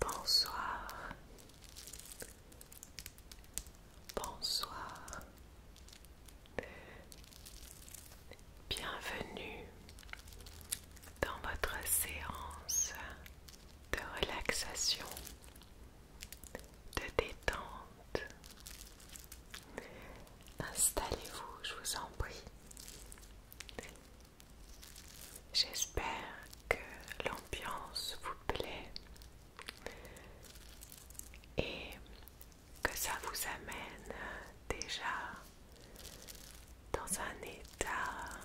Bonsoir. Bonsoir. Bienvenue dans votre séance de relaxation, de détente. Installez-vous, je vous en prie. J'espère que l'ambiance vous plaît et que ça vous amène déjà dans un état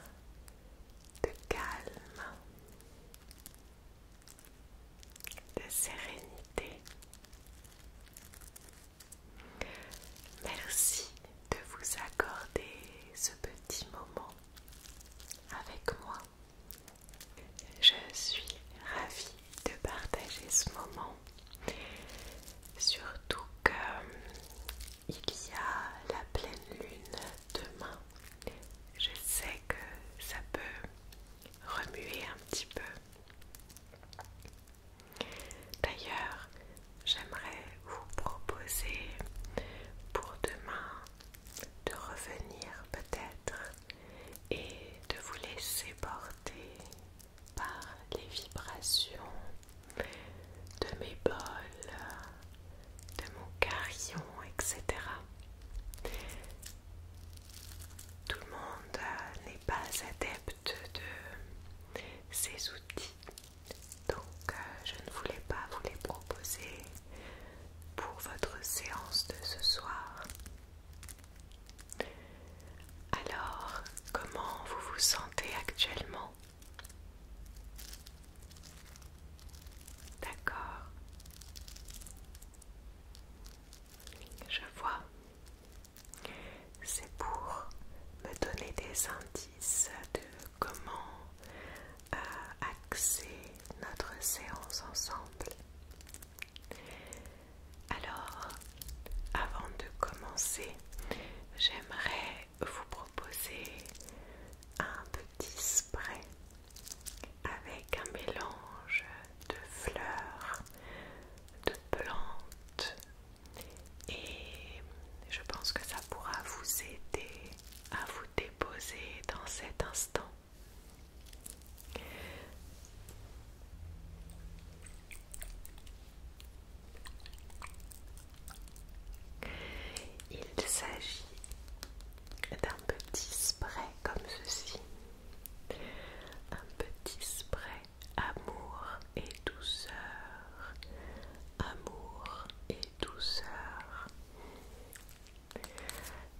de calme, de sérénité. Merci de vous accorder ce petit moment avec moi. Je suis ravie de partager ce moment. Surtout qu'il euh, y a la pleine lune demain. Je sais que ça peut remuer un petit peu. D'ailleurs, j'aimerais vous proposer pour demain de revenir peut-être et de vous laisser porter par les vibrations de mes bols, de mon carillon, etc. Tout le monde n'est pas adepte de ces outils donc, euh, je ne voulais pas vous les proposer pour votre séance de ce soir. Alors, comment vous vous sentez actuellement D'accord. Je vois. C'est pour me donner des indices de comment euh, axer notre séance ensemble. Alors, avant de commencer, j'aimerais vous proposer un petit spray avec un mélange de fleurs, de plantes, et je pense que ça pourra vous aider à vous déposer dans cet instant. Il s'agit d'un petit spray comme ceci, un petit spray amour et douceur, amour et douceur.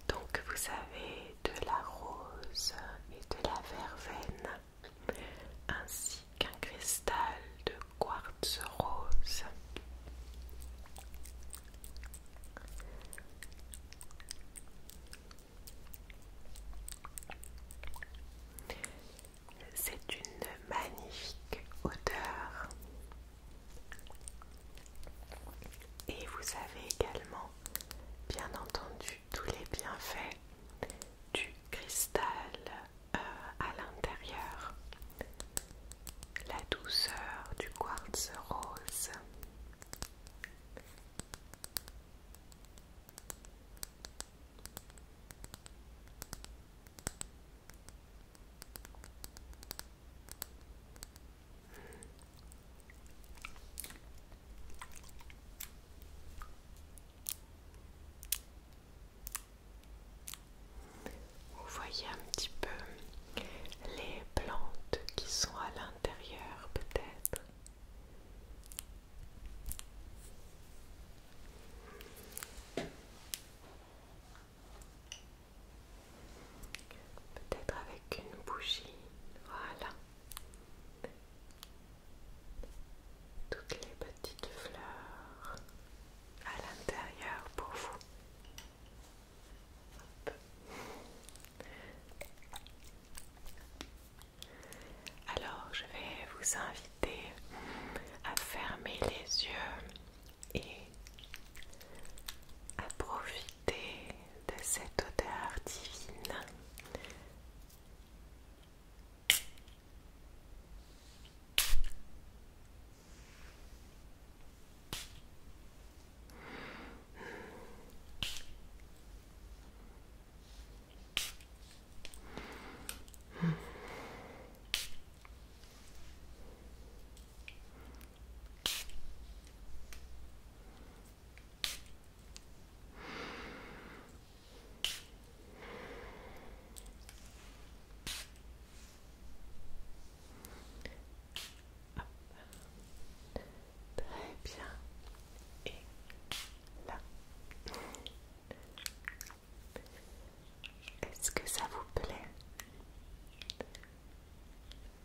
Donc vous avez de la rose et de la verveine ainsi qu'un cristal de quartz rose. C'est une magnifique odeur. Et vous avez également, bien entendu, tous les bienfaits du cristal euh, à l'intérieur, la douceur du quartz rose. Vous voyez un petit peu les plantes qui sont à l'intérieur peut-être. Peut-être avec une bougie. Voilà. Toutes les petites fleurs à l'intérieur pour vous. Alors, je vais vous inviter à fermer les yeux et à profiter de cette odeur divine. Très bien. Et là. Est-ce que ça vous plaît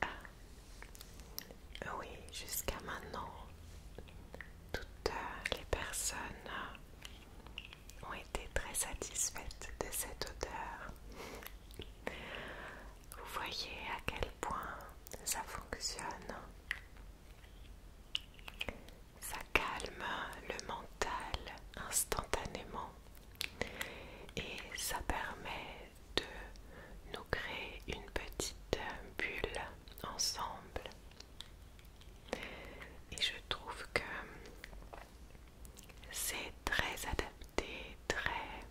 ah. oui, jusqu'à maintenant, toutes euh, les personnes euh, ont été très satisfaites de cette odeur. Vous voyez à quel point ça fonctionne ça calme le mental instantanément et ça permet de nous créer une petite bulle ensemble. Et je trouve que c'est très adapté, très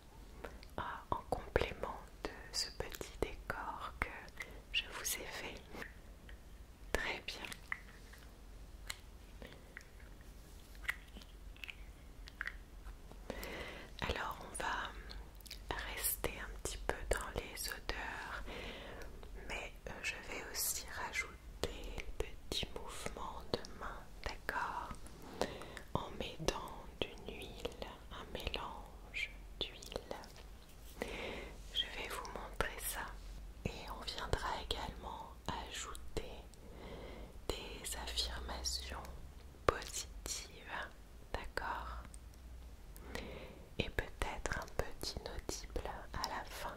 ah, en complément de ce petit décor que je vous ai fait. Très bien. Alors on va rester un petit peu dans les odeurs, mais euh, je vais aussi rajouter le petit mouvement de main, d'accord En mettant d'une huile, un mélange d'huile je vais vous montrer ça et on viendra également ajouter des affirmations positives, d'accord Et peut-être un petit audible à la fin.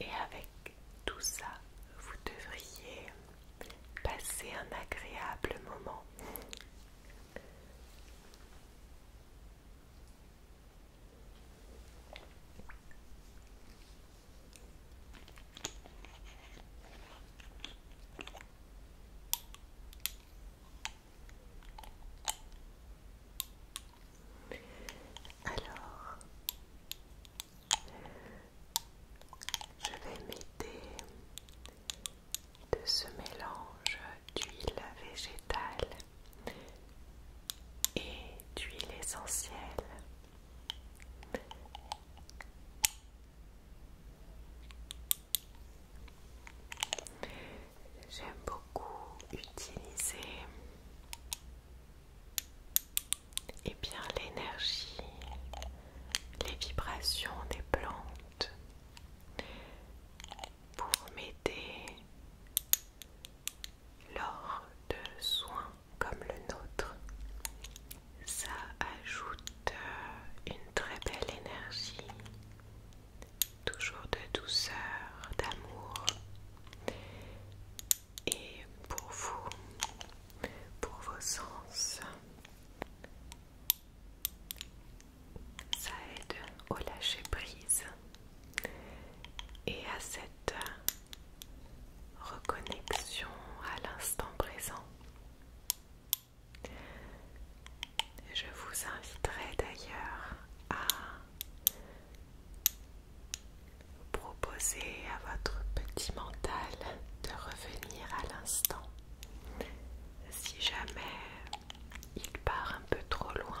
Et avec tout ça, vous devriez passer un agréable moment. Alors, je vais m'aider de ce mélange d'huile végétale et d'huile essentielle. J'aime beaucoup utiliser et eh bien l'énergie, les vibrations des plantes pour m'aider lors de soins comme le nôtre, ça ajoute euh, une très belle énergie, toujours de douceur, d'amour. Et pour vous, pour vos sens, ça aide au lâcher prise et à cette reconnexion à l'instant présent. Je vous inviterai d'ailleurs à proposer à votre petit mental de revenir à l'instant si jamais il part un peu trop loin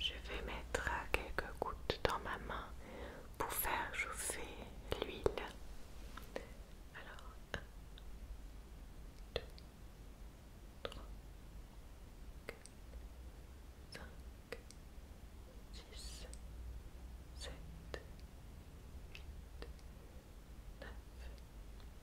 Je vais mettre quelques gouttes dans ma main pour faire chauffer l'huile. Alors, 1, 2, 3, 5, 6, 7, 8,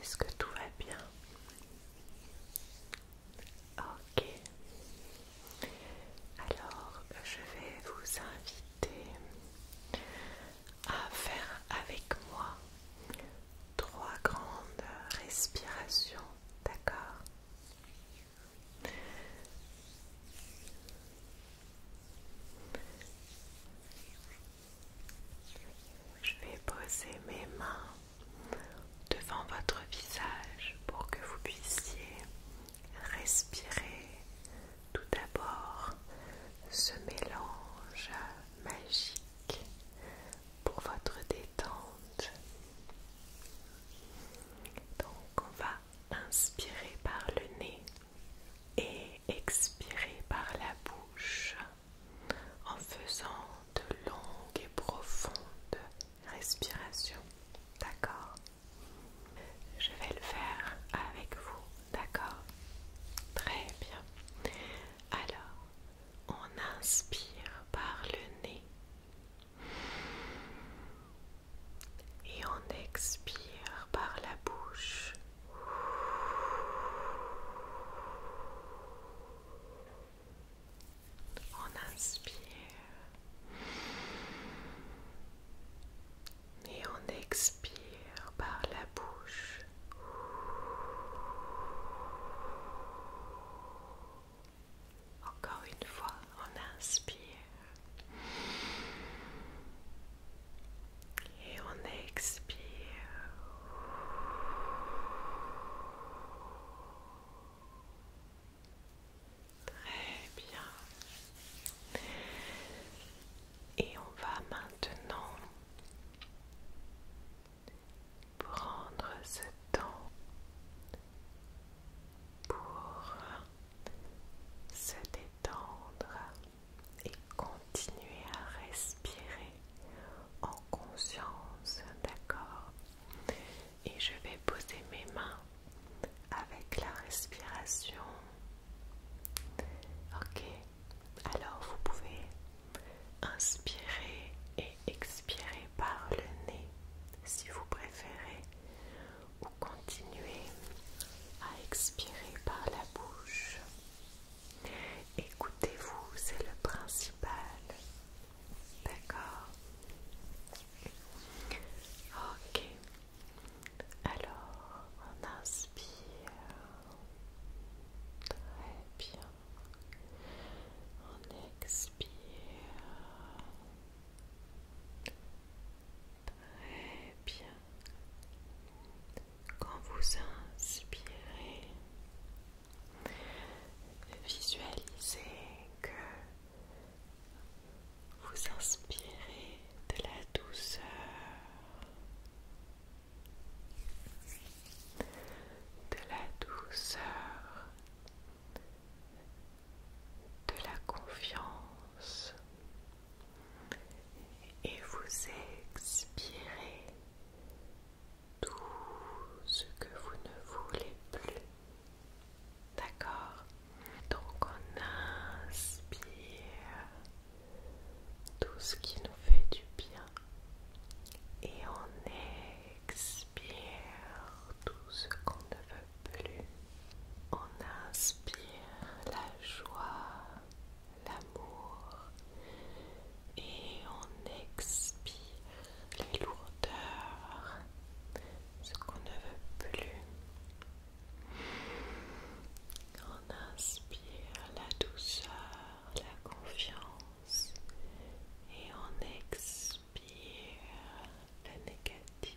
Est-ce que tout va bien Ok. Alors, je vais vous inviter à faire avec moi trois grandes respirations, d'accord je vais poser mes mains devant votre visage pour que vous puissiez Respirez tout d'abord ce mélange magique pour votre détente. Donc on va inspirer par le nez et expirer par la bouche en faisant de longues et profondes respirations. D'accord je vais le faire avec vous, d'accord Très bien. Alors, on inspire par le nez et on expire par la bouche. On inspire. Et on expire par la bouche. Encore une fois, on inspire. Et on expire. Très bien. Et on va maintenant prendre ce temps pour se détendre et continuer à respirer en conscience, d'accord et je vais poser mes mains avec la respiration. Ok, alors vous pouvez inspirer et expirer par le nez si vous préférez ou continuer à expirer par la bouche. Écoutez-vous, c'est le principal. D'accord. Ok. Alors, on inspire. Très bien. On expire. Très bien. Quand vous inspirez, visualisez que vous inspirez de la douceur. De la douceur. De la confiance. Et vous expirez tout ce que vous ne voulez plus D'accord Donc on inspire tout ce qui nous fait du bien et on expire tout ce qu'on ne veut plus. On inspire la joie, l'amour et on expire les lourdeurs, ce qu'on ne veut plus. On inspire la douceur, la confiance et on expire la négative.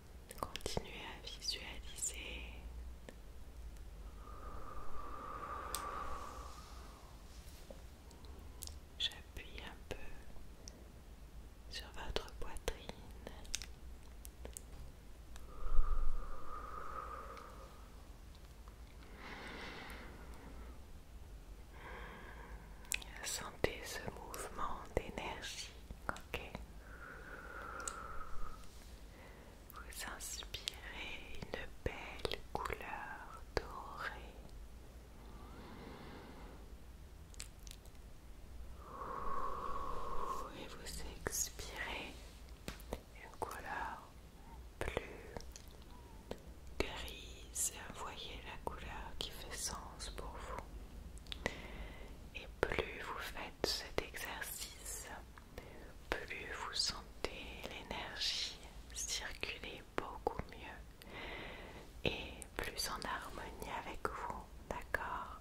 Continuez à visualiser. J'appuie un peu sur votre poitrine. Sentez ce mouvement d'énergie, ok Vous inspirez une belle couleur dorée. Et vous expirez une couleur plus grise. Voyez la couleur qui fait sens pour vous. Et plus vous faites cet exercice, plus vous sentez l'énergie circuler beaucoup mieux et plus en harmonie avec vous, d'accord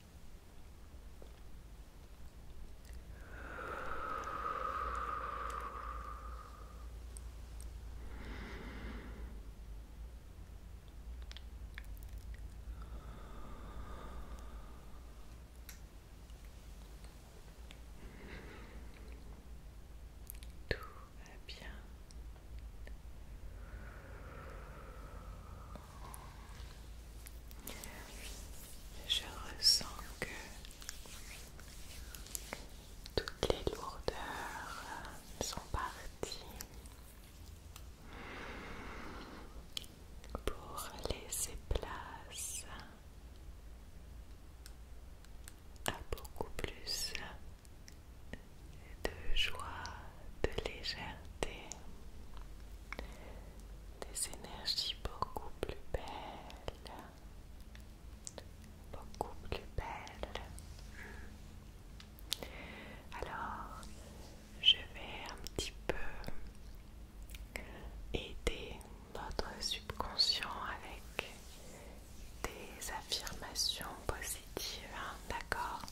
Tout va bien. Je ressens que toutes les lourdeurs sont parties pour laisser place à beaucoup plus de joie, de légèreté, des énergies beaucoup plus belles, beaucoup plus belles. Alors, je vais un petit peu aider notre subconscient avec des affirmations positives, hein, d'accord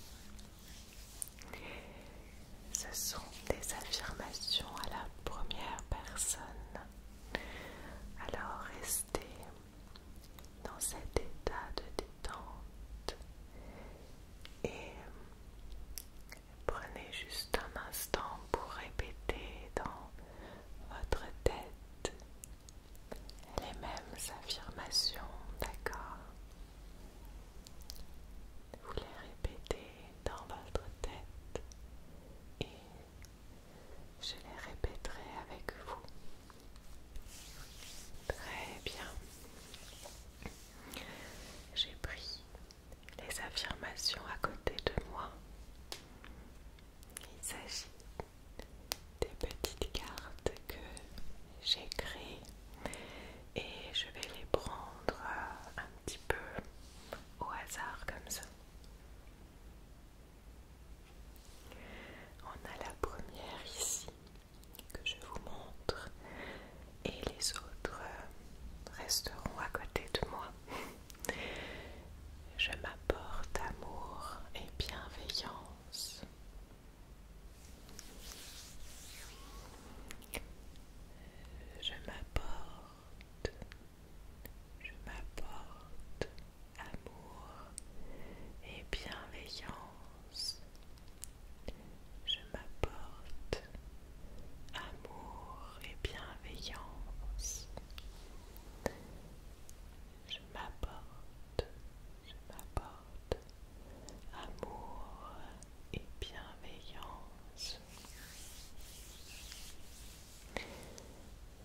ce sont des affirmations à la première personne. Alors restez dans cet état de détente et prenez juste un instant pour répéter dans votre tête les mêmes affirmations, d'accord vous les répétez dans votre tête et je les répéterai avec vous. Très bien. J'ai pris les affirmations à côté de moi. Il s'agit des petites cartes que j'ai créées et je vais les prendre euh, un petit peu au hasard comme ça. On a la première ici que je vous montre et les autres euh, resteront à côté de moi. Je m'apporte amour et bienveillance je m'apporte, je m'apporte amour et bienveillance. Je m'apporte amour et bienveillance. Je m'apporte, je m'apporte amour et bienveillance.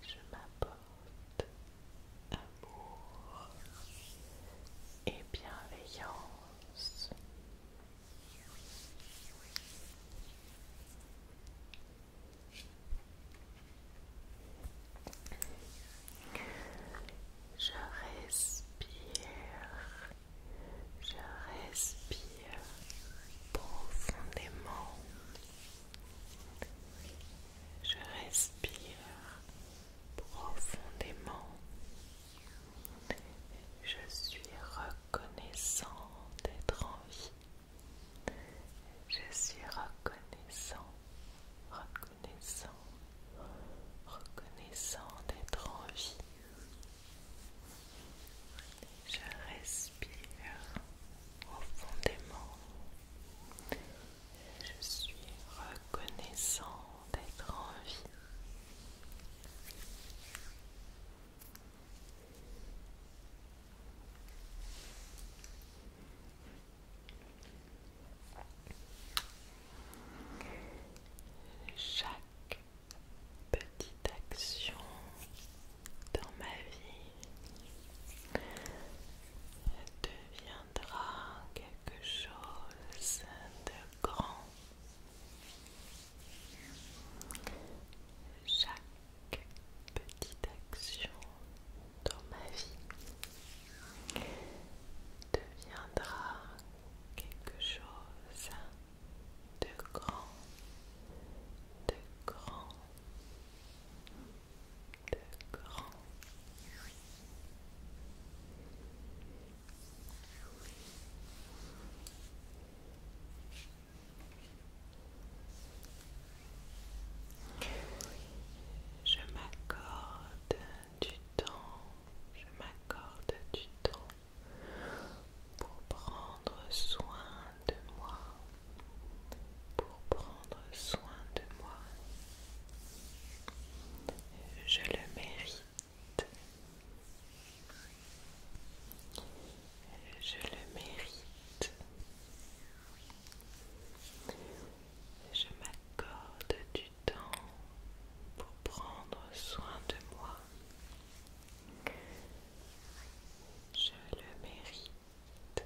Je m'apporte amour et bienveillance. Je respire, je respire profondément. Je respire profondément. Je suis reconnaissant d'être en vie. Je suis reconnaissant, reconnaissant reconnaissant, reconnaissant d'être en vie. Je respire profondément. Je suis reconnaissant d'être en vie. Chaque petite action dans ma vie deviendra quelque chose de grand. Chaque petite action dans ma vie deviendra quelque chose de grand, de grand, de grand. Je m'accorde du temps, je m'accorde du temps pour prendre soin de moi, pour prendre soin de moi. Je le mérite. Je le mérite. Je m'accorde du temps pour prendre soin de moi. Je le mérite,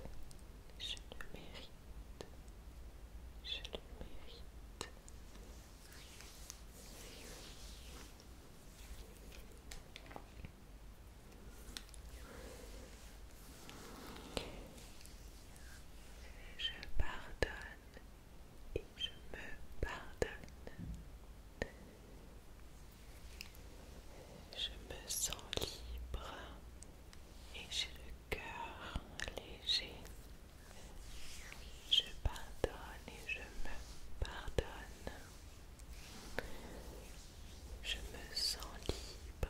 je le mérite, je le mérite. Je pardonne et je me pardonne. Je me sens libre et j'ai le cœur léger. Je pardonne et je me pardonne. Je me sens libre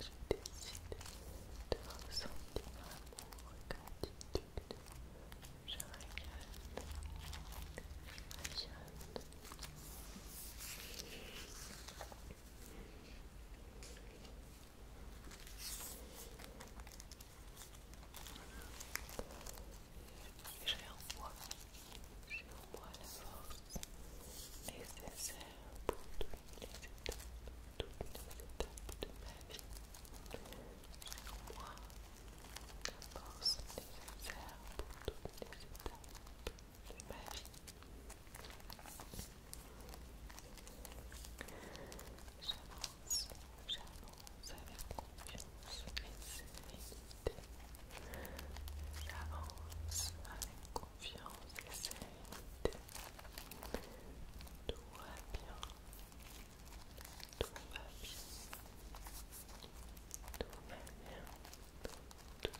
je décide de ressentir l'amour et gratitude. Je Je Et je j'envoie la force nécessaire pour toutes les étapes, de ma vie. J'envoie la force nécessaire pour toutes les étapes de ma vie. J'avance, j'avance avec confiance et sérénité. J'avance avec confiance et sérénité. Tout va bien. Tout va bien. Tout va bien. Tout, tout,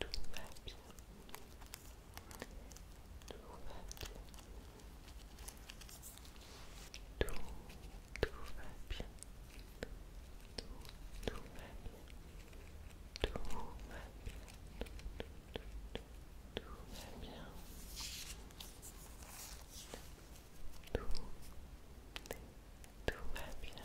tout. va bien. Tout va bien. va bien. tout va bien tout, tout va bien. Tout bien. Tout, va bien. Tout, va bien. va bien.